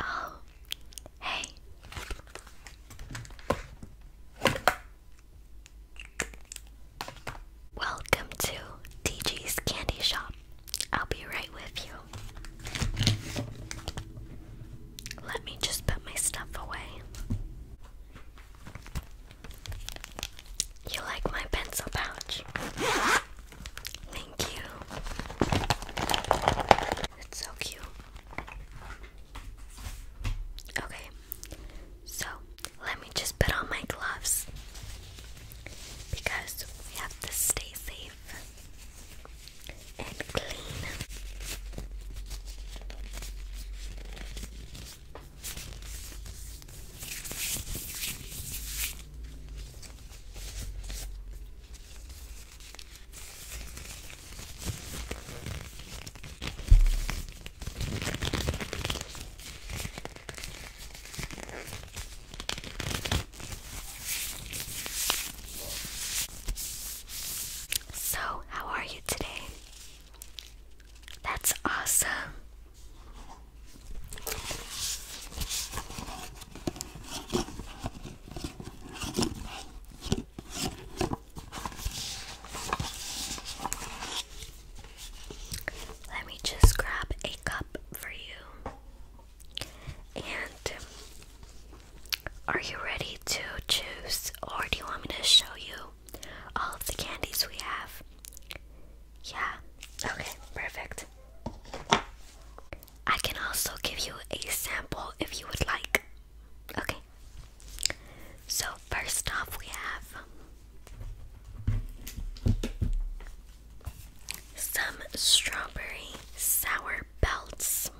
Oh, hey. Welcome to DG's Candy Shop. I'll be right with you. Let me just put my stuff away. You like my pencil pouch? Thank you. It's so cute. Okay, so let me just put on my gloves because we have to stay safe and clean. So, how are you today? That's awesome. Let me just grab a cup for you. And um, are you ready to choose, or do you want me to show you all of the candies we have? Yeah, okay, perfect. I can also give you a sample if you would like. Okay, so first off, we have some strawberry sour belts.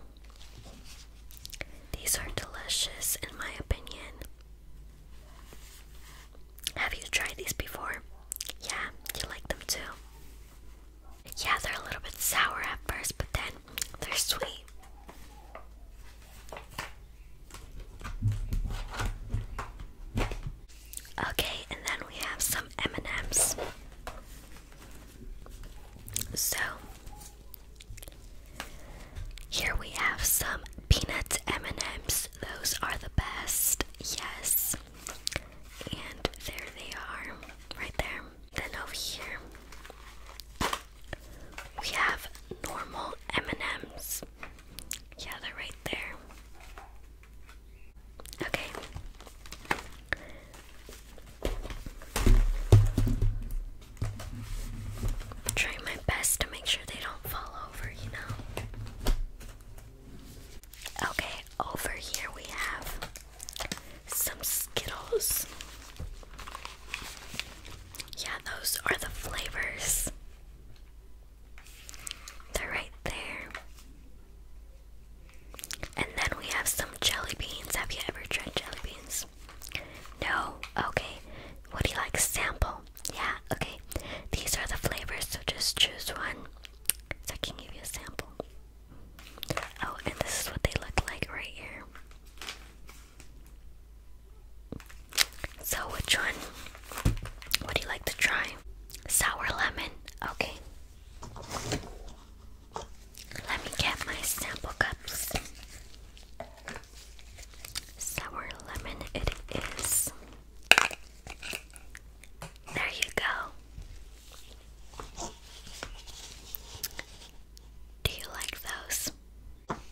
These are delicious, in my opinion. Have you tried these before? Yeah, you like them too. Yeah, they're a little bit sour at first, but then they're sweet. Okay, and then we have some M&Ms. So, here we have some peanuts M&Ms. Those are the best. Yes. And there they are, right there. Then over here, we have normal M&Ms. Yeah, they're right there. Okay. trying my best to make sure they don't fall over over, you know. Okay, over here we have some Skittles. Yeah, those are the flavors. They're right there. And then we have some jelly beans. Have you ever tried jelly beans? No? Okay. What do you like? Sample. Yeah, okay. These are the flavors, so just choose one so I can give you a sample. Oh, and this is what they look like right here. So, which one would you like to try? Sour lemon. Okay. Let me get my sample cups. Sour lemon, it is. There you go. Do you like those?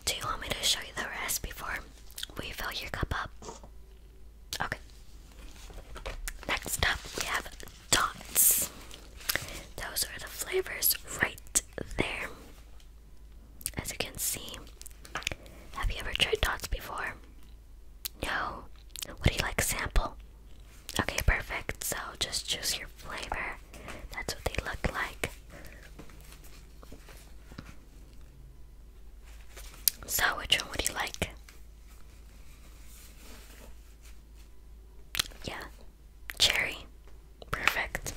Do you want me to show you the rest before we fill your cup up? Okay. Next up, we have dots. Those are the flavors right there. As you can see, have you ever tried dots before? No? What do you like sample? Okay, perfect. So just choose your flavor. That's what they look like. So, which one would you like? Yeah, cherry. Perfect.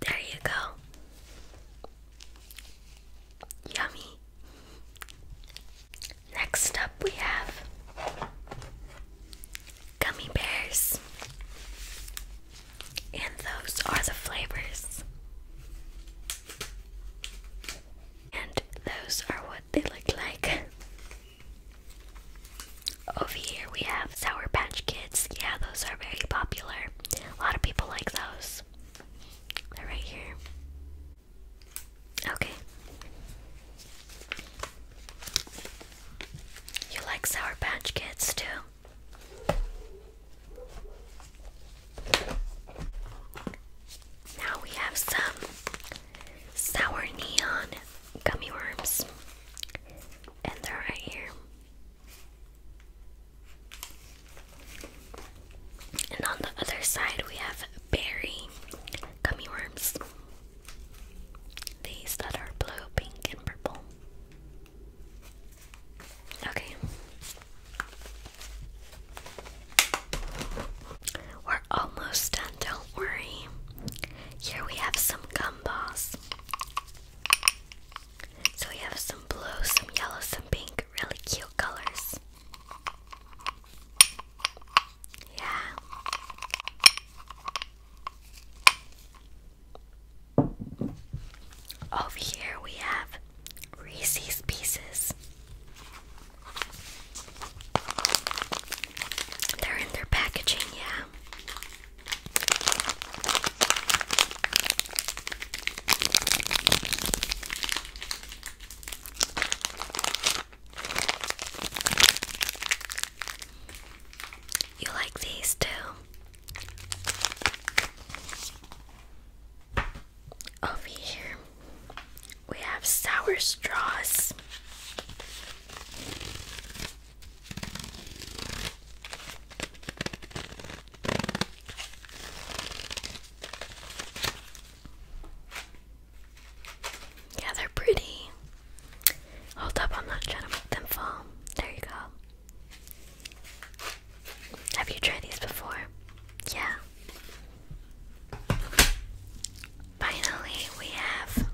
There you go. Yummy. Next up, we have gummy bears, and those are the flavors. And those are what they look like. Over here we have Sour Patch Kids. Yeah, those are very popular. A lot of people like those. They're right here. Okay. You like Sour Patch Kids too? Now we have some sour neon gummy worms, and they're right here. And on the other side, we have berry gummy worms. These that are blue, pink, and purple. Okay, we're almost done, don't worry. Here we have some gum balls. So we have some blue, some yellow, some pink, really cute colors. Yeah. Over here we have Reese's Pieces. They're in their packaging, yeah. You like these too? Over here, we have sour straws. Yeah, they're pretty. Hold up, I'm not trying to make them fall. There you go. Have you tried these before? Yeah. Finally, we have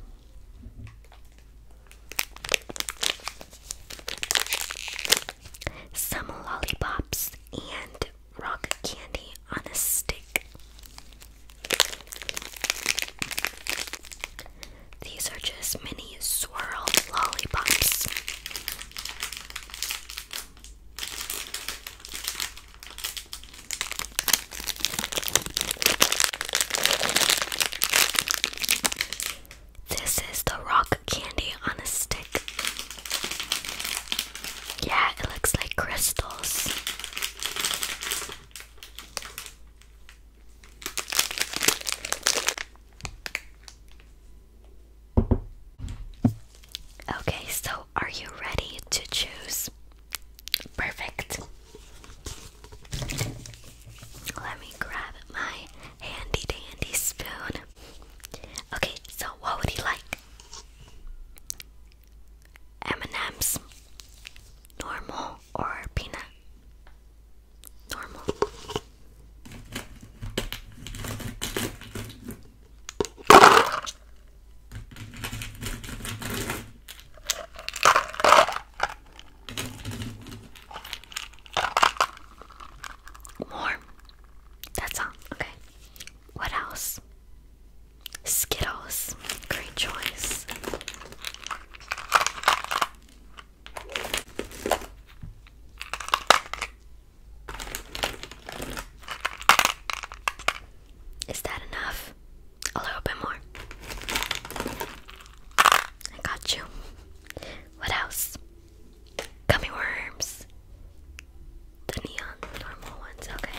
some lollipops and rock candy on a stick. These are just mini swirl lollipops. This is the rock candy on a stick. Yeah, it looks like crystals. Okay, so are you ready to choose? Perfect. Let me grab my handy dandy spoon. Okay, so what would you like? M&M's, normal or peanut? Normal. More. That's all. Okay. What else? Skittles. Great choice. Is that enough? A little bit more. I got you. What else? Gummy worms. The neon normal ones, okay.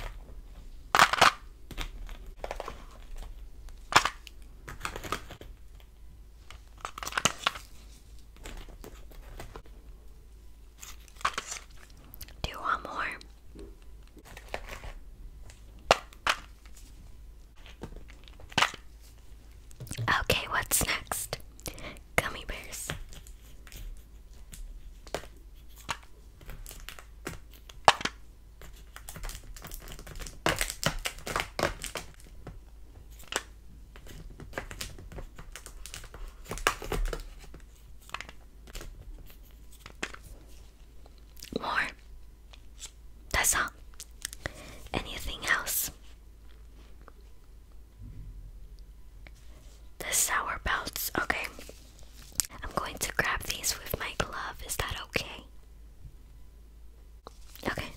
Do you want more? Okay, what's next? Gummy bears. More. That's all. Anything else? The sour belts. Okay. I'm going to grab these with my glove. Is that okay? Okay.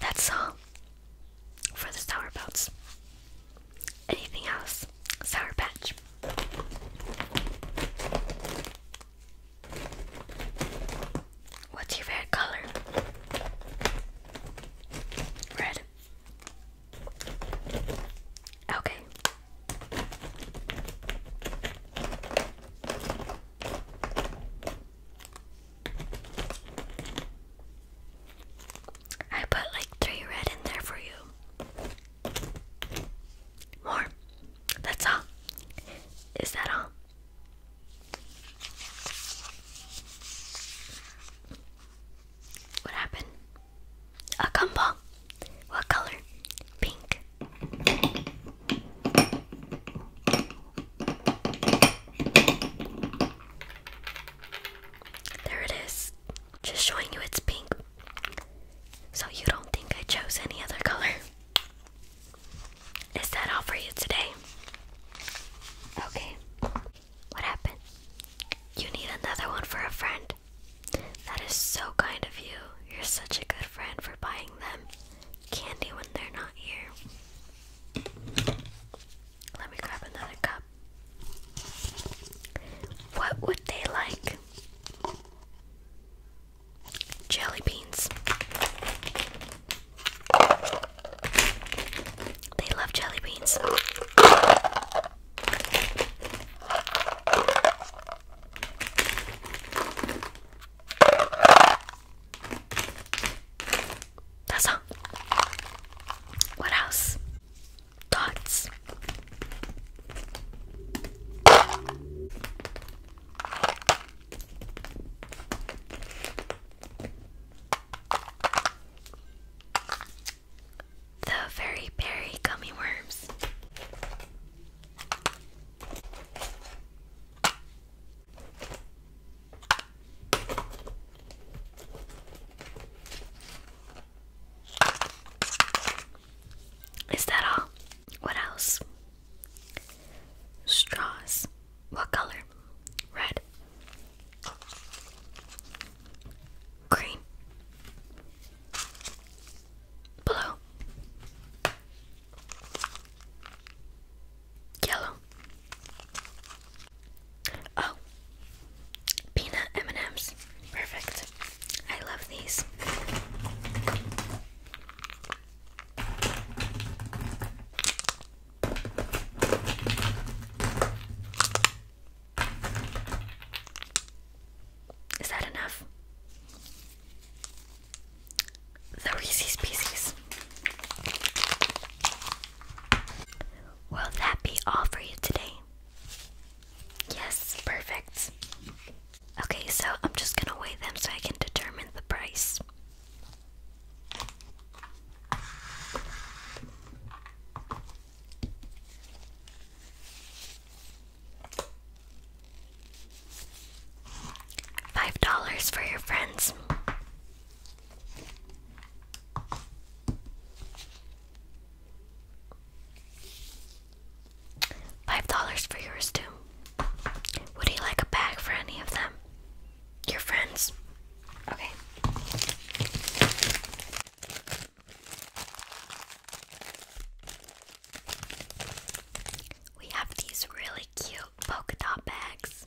That's all for the sour belts. Anything else? Sour patch. What's your favorite color? Red. Okay. I put like three red in there for you. More. That's all. Is that all? What happened? A gumball. What color? Pink. There it is. Just showing you it's pink. So you don't think I chose any other color. Is that all for you today? Okay. What happened? You need another one for a friend. That is so kind of you. You're such a good friend for buying them candy when they're not here. Let me grab another cup. What would they like? Jelly beans. They love jelly beans. That's all. What else? Dots. The Very Berry Gummy Worms. Is that all? What else? Straws. What color? Red. Green. Blue. Yellow. Oh. Peanut M&Ms. Perfect. I love these. Is that enough? The Reese's Pieces. Will that be all for you today? Yes, perfect. Okay, so I'm just gonna weigh them so I can determine the price. Five dollars for your friends. Five dollars for yours too. Would you like a bag for any of them? Your friends. Okay. We have these really cute polka dot bags.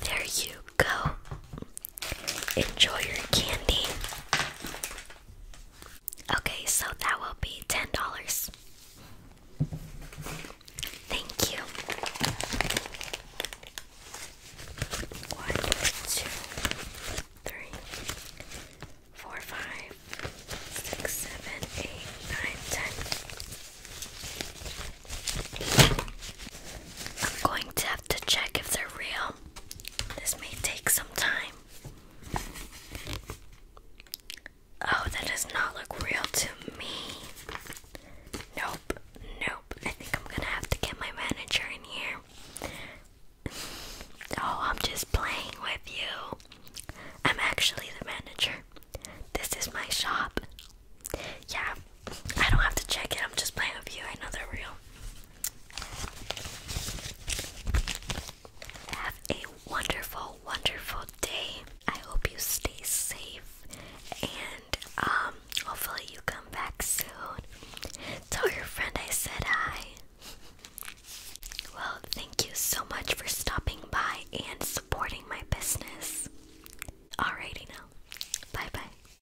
there you go. Enjoy your candy. Okay, so that will be $10. Thank you. One, two, three, four, five, six, seven, eight, nine, ten. I'm going to to check if they're real. This may take some time. Oh, that does not look real to me. Nope, nope. I think I'm gonna have to get my manager in here. Oh, I'm just playing with you. I'm actually the manager. This is my shop. Yeah, I don't have to check it, I'm just playing with you. I know they're real. Have a wonderful, wonderful day. I hope you stay safe and um, hopefully you come back soon. Tell your friend I said hi. Well, thank you so much for stopping by and supporting my business. Alrighty now. Bye bye.